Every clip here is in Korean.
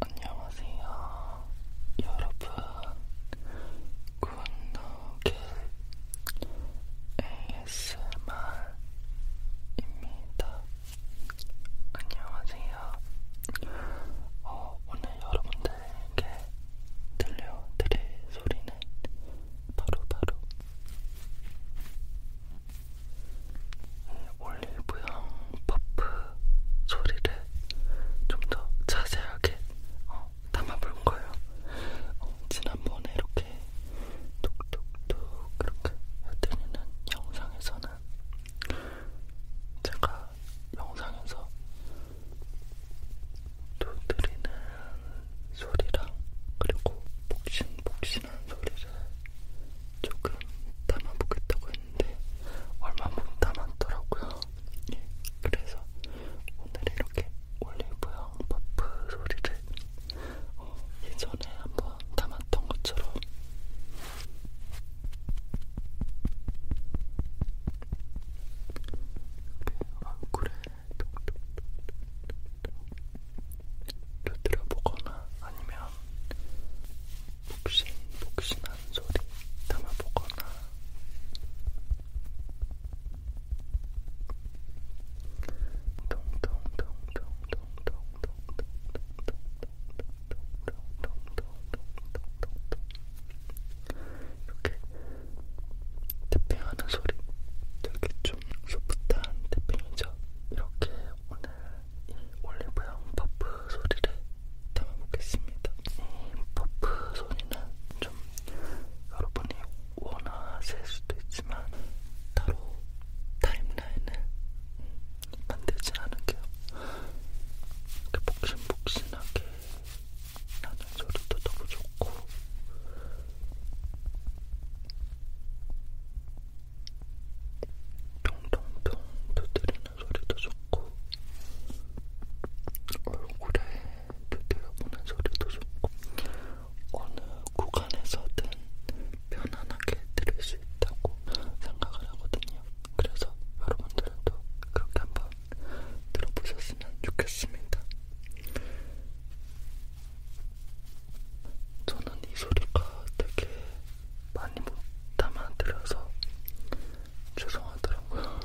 안녕하세요, 여러분. 굿노길 ASMR입니다. 안녕하세요. 어, 오늘 여러분들에게 들려드릴 소리는 바로바로 바로 올리브영 퍼프 소리를 좀 더 자세하게 어, 담아볼 거예요. 어, 지난번에 이렇게 톡톡톡 그렇게 해드리는 영상에서는 제가 영상에서 두드리는 소리랑 그리고 복신복신한 소리를 조금 담아보겠다고 했는데 했는데 네. 얼마 못 남았더라고요. 예, 그래서 오늘 이렇게 올리브영 버프 소리를 어, 예전에 한번 담았던 것처럼 얼굴에 두드려보거나 아니면 복신복신한 소리 담아보거나 이렇게 태핑하는 소리 되게 좀 소프트한 태핑이죠. 이렇게 오늘 올리브영 퍼프 소리를 담아보겠습니다. 이 음, 퍼프 소리는 좀 여러분이 원하실 수도 있지만 따로 타임라인을 만들진 않을게요. 이렇게 복신복신하게 나는 소리도 너무 좋고 통통통 두드리는 소리도 좋고 얼굴에 두드려보는 소리도 좋고 어느 구간에서든 편안하게 들을 수 있다고 생각을 하거든요. 그래서 여러분들도 그렇게 한번 들어보셨으면 좋겠습니다. 저는 이 소리가 되게 많이 못 담아드려서 죄송하더라고요.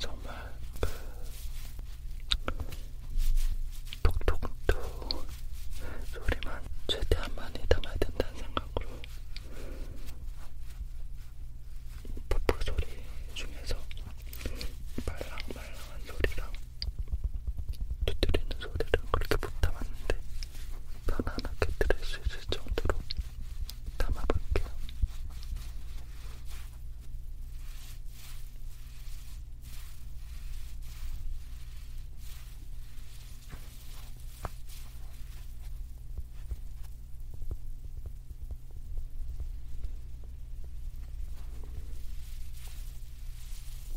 정말 그 톡톡톡 소리만 최대한 많이 담아야 된다는 생각으로 버프 소리 중에서 말랑말랑한 소리랑 두드리는 소리를 그렇게 못 담았는데 편안하게 들을 수 있을 정도로 담아볼게요.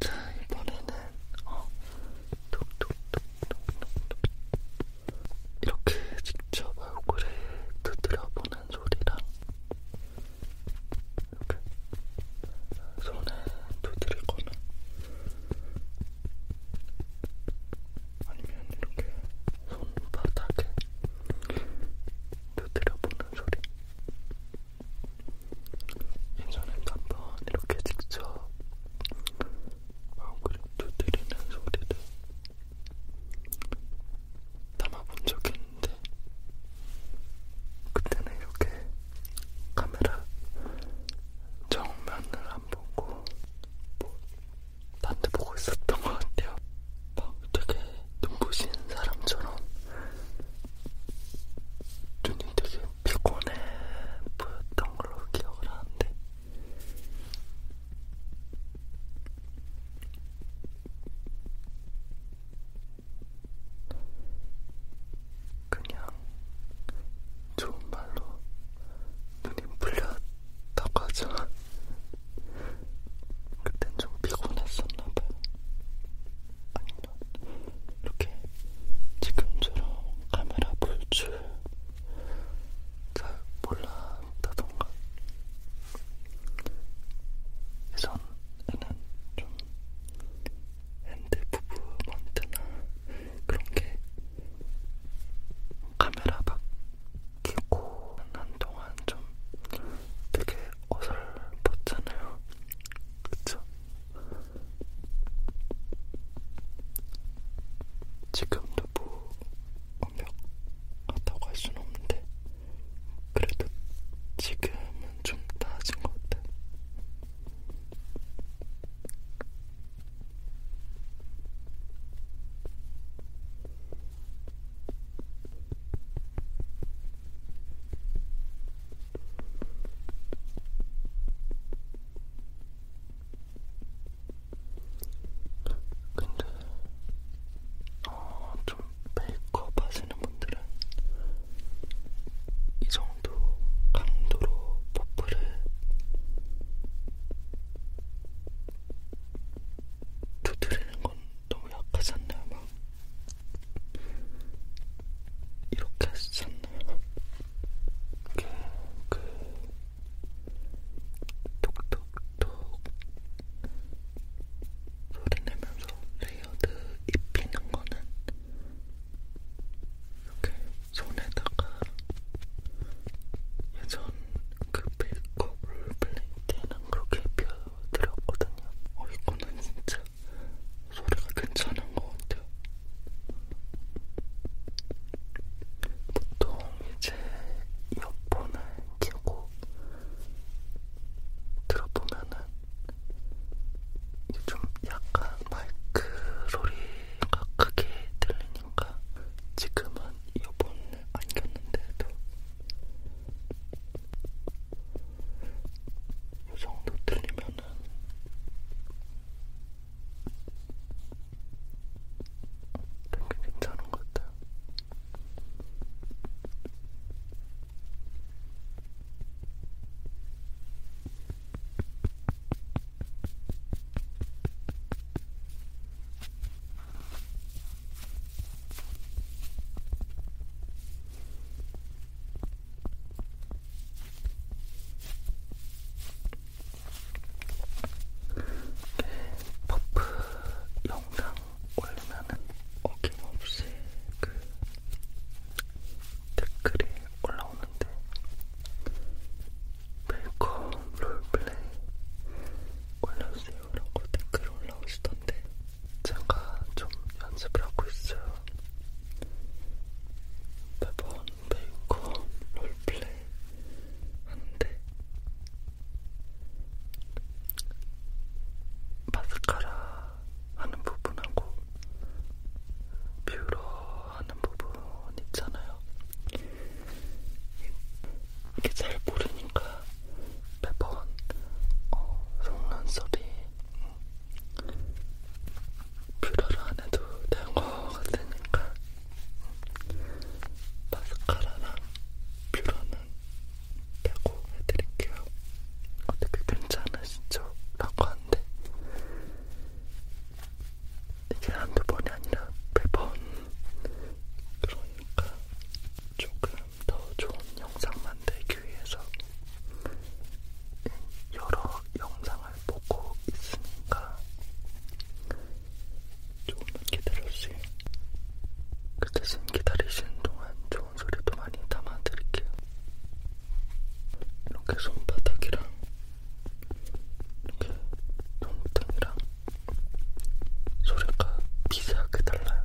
자, 이번에는 어, 톡톡톡톡톡톡 이렇게 직접 얼굴에 두드려보는 소리랑 이렇게 손에 두드리거나 아니면 이렇게 손바닥에 두드려보는 소리 예전에도 한번 이렇게 직접 마음그림 두드리는 소리를 담아본 적이 있는데 그때는 이렇게 카메라 정면을 안 보고 뭐 딴 데 보고 있었던 것 같아요. 막 되게 눈부신 사람처럼 눈이 되게 피곤해 보였던 걸로 기억을 하는데 그냥 좋은 말로 눈이 풀렸다고 하죠. 그땐 좀 피곤했었나봐요. 아니 이렇게 지금처럼 카메라 볼 줄 잘 몰랐다던가 예전에는 좀 핸드 부브먼트나 그런 게 카메라 바뀌고 한동안 좀 되게 어설펐잖아요. 그쵸? 지금도 뭐 완벽하다고 할 수는 없는데 그래도 지금은 좀 나아진 것 같아. 근데 어, 좀 메이크업 하시는 분들은 이 정도 강도로 퍼프를 두드리는 건 너무 약하지 않나요? 막 이렇게 썼네요. 이게 그 톡톡톡 소리 내면서 레이어드 입히는 거는 이렇게 손에다가 예전 그 메이크업 롤플레이 때는 그렇게 입혀드렸거든요. 어, 이거는 진짜 소리가 괜찮은 것 같아요. 보통 이제 이어폰을 끼고 들어보면은 이제 좀 약간 마이크 소리가 크게 들리니까 지금은 이어폰을 안 꼈는데도 이 정도 들리면은 되게 괜찮은 것 같아요. 퍼프 영상 올리면은 어김없이 그 댓글이 올라오는데 웰컴 롤플레이 올려주세요라고 댓글 올라오시던데 제가 좀 연습을 하고 있어요. 매번 메이커 롤플레이 하는데 마스카라 하는 부분하고 뷰러 하는 부분 있잖아요. 이게 잘 모르니까 매번 어, 속눈썹이 뷰러를 안 해도 된거 같으니까 마스카라랑 뷰러는 빼고 해드릴게요. 어떻게 괜찮으시죠? 라고 하는데 이게 한두 번이 아니라 매번 그러니까 조금 더 좋은 영상 만들기 위해서 여러 영상을 보고 있으니까 조금만 기다려주세요. 그 대신 기다리시는 동안 좋은 소리도 많이 담아드릴게요. 이렇게 손바닥이랑 이렇게 손등이랑 소리가 비슷하게 달라요.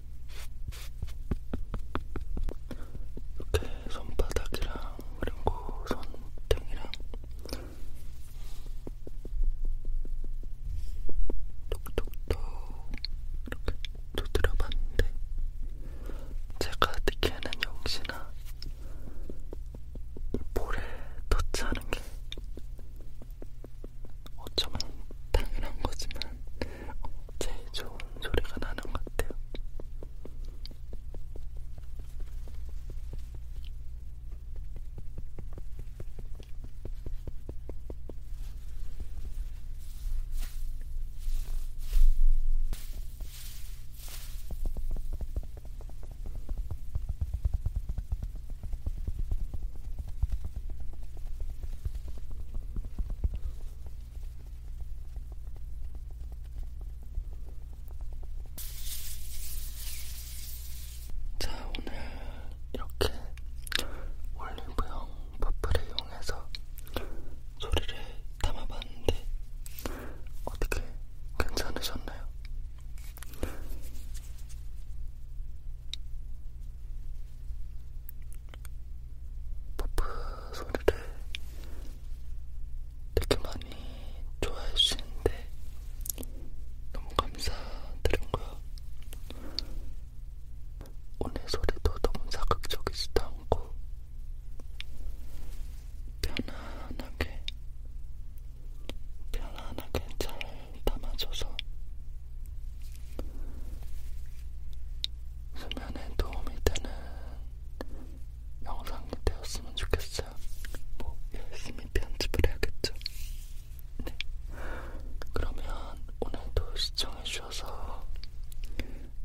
이렇게 손바닥이랑 그리고 손등이랑 톡톡톡 이렇게 두드려봤는데 제가 느끼는 역시나 이 볼에 터치하는 게 어쩌면 당연한 거지만 제일 좋은 소리가 나는 것 같아요. 자, 오늘 이렇게 올리브영 퍼프를 이용해서 소리를 담아봤는데 어떻게 괜찮으셨나요? 퍼프 소리를 되게 많이 좋아해 주시는데 너무 감사드리고요. 오늘 소리도 너무 자극적이지도 않고 편안하게 편안하게 잘 담아줘서 수면에 도움이 되는 영상이 되었으면 좋겠어요. 뭐 열심히 편집을 해야겠죠. 네. 그러면 오늘도 시청해주셔서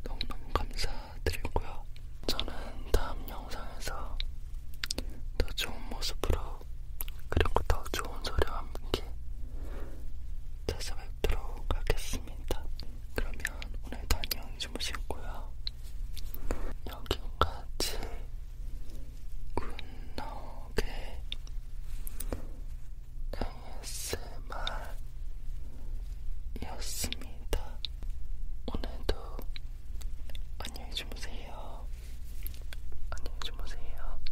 너무너무 감사드리고요. 저는 다음 영상에서 더 좋은 모습으로 그리고 더 좋은 소리와 함께 이렇게 찾아뵙도록 하겠습니다. 그러면 오늘도 안녕히 주무시고요. 여기까지 굿노게 ASMR이었습니다. 오늘도 안녕히 주무세요. 안녕히 주무세요.